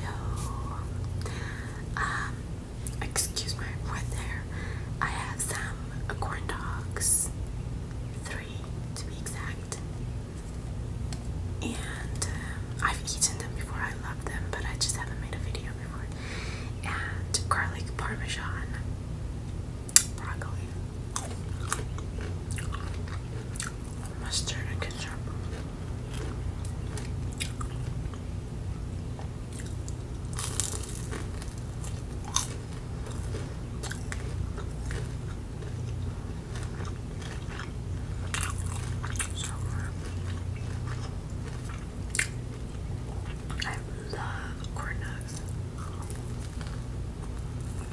Hello. Um, excuse my I have some corn dogs, three to be exact. And um, I've eaten them before. I love them, but I just haven't made a video before. And garlic parmesan, broccoli mustard and ketchup. So I love corn dogs.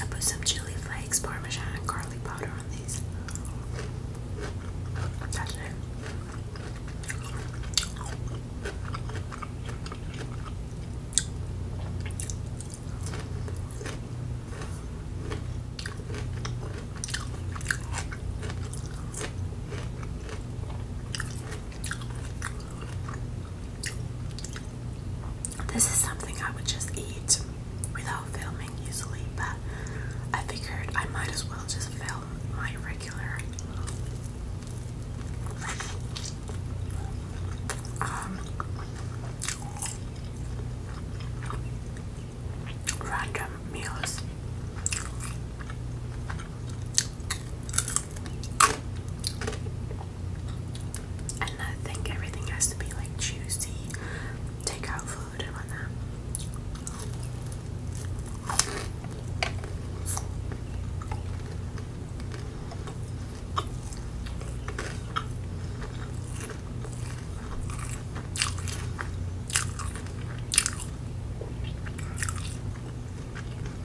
I put some chili flakes, parmesan, and garlic powder on these. That's it. This is something I would just eat without filming usually, but I figured I might as well just film my regular um, random meals. And I think everything has to be like juicy, takeout food and whatnot.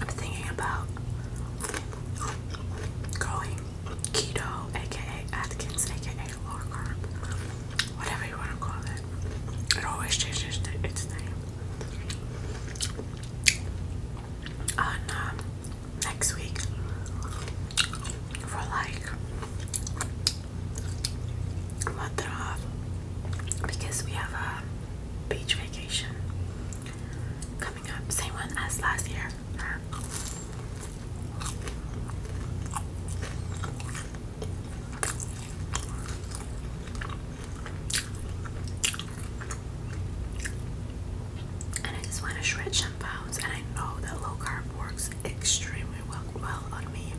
I'm thinking about going keto, aka Atkins, aka low carb, whatever you want to call it. It always changes its name. On um, next week, for like month off because we have a beach vacation coming up, same one as last year. And I just want to shred some pounds, and I know that low carb works extremely well, well on me.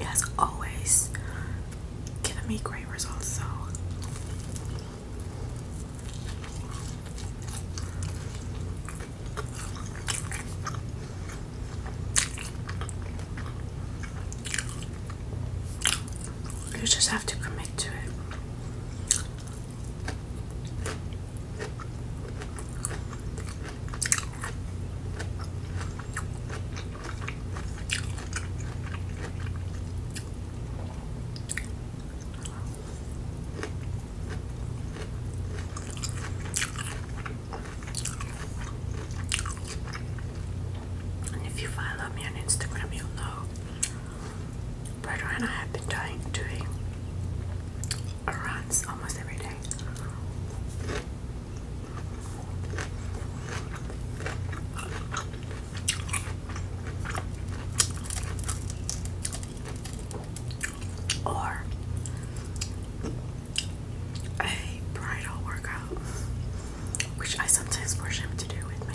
It has always given me great results. So you just have to commit to it. And if you follow me on Instagram, you know. Brother I have been dying, doing runs almost every day. Or a bridal workout, which I sometimes force him to do with me.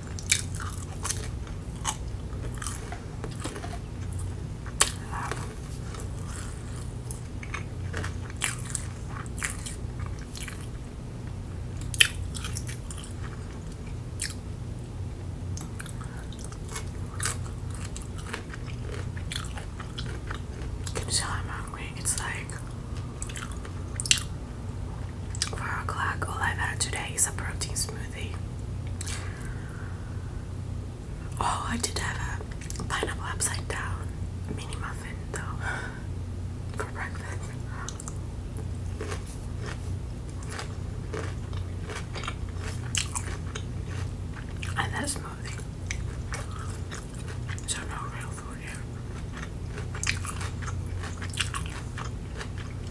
You can tell I'm hungry. It's like 4 o'clock, all I've had today is a protein smoothie. Oh, I did have pineapple upside down mini muffin though for breakfast. And that smoothie. So no real food here.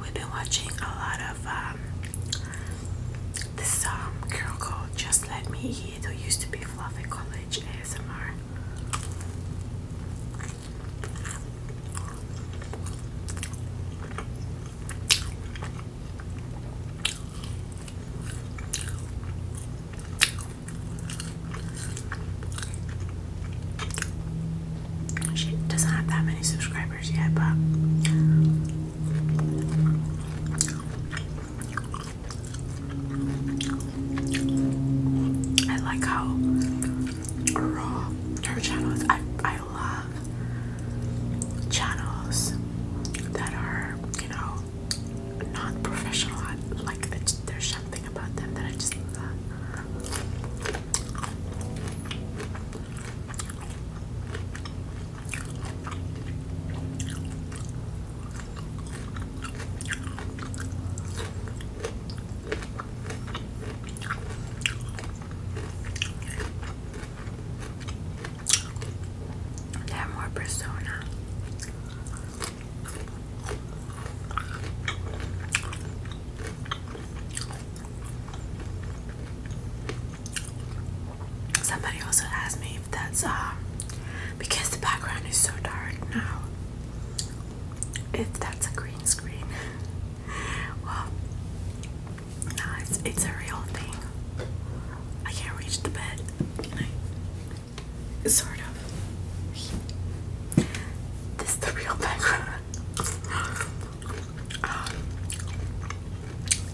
we've been watching a lot of um, this um, girl called Just Let Me Eat who used to be Fluffy College ASMR. She doesn't have that many subscribers yet, but I like how raw her channel is. I, I love channels that are, you know, non professional. Like, there's something about them that I just love. They're more persona. Somebody also asked me if that's um because the background is so dark now. If that's a green screen, well, no, it's it's a real thing. I can't reach the bed, sort of. This is the real background. Um,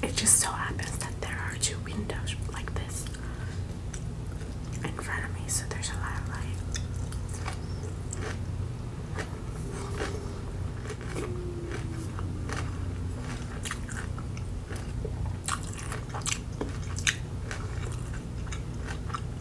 it just so happens that there are two windows like this in front of me, so there's a lot of light.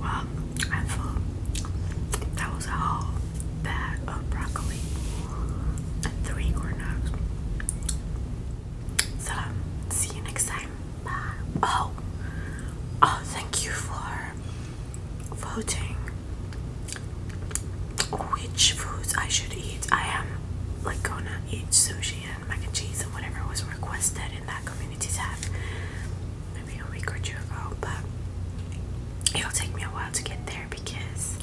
Well, I thought that was a whole bag of broccoli and three corn dogs. So, see you next time. Bye. Oh, oh, thank you for voting which foods I should eat. I am like gonna eat sushi and mac and cheese and whatever was requested in that community's app maybe a week or two ago, but it'll take me a while to get there because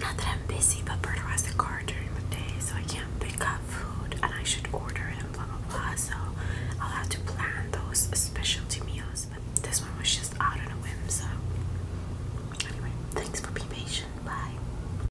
not that I'm busy, but Berto has the car during the day, so I can't pick up food and I should order it blah blah blah. So I'll have to plan those specialty meals, but this one was just out of a whim. So anyway, thanks for being patient. Bye.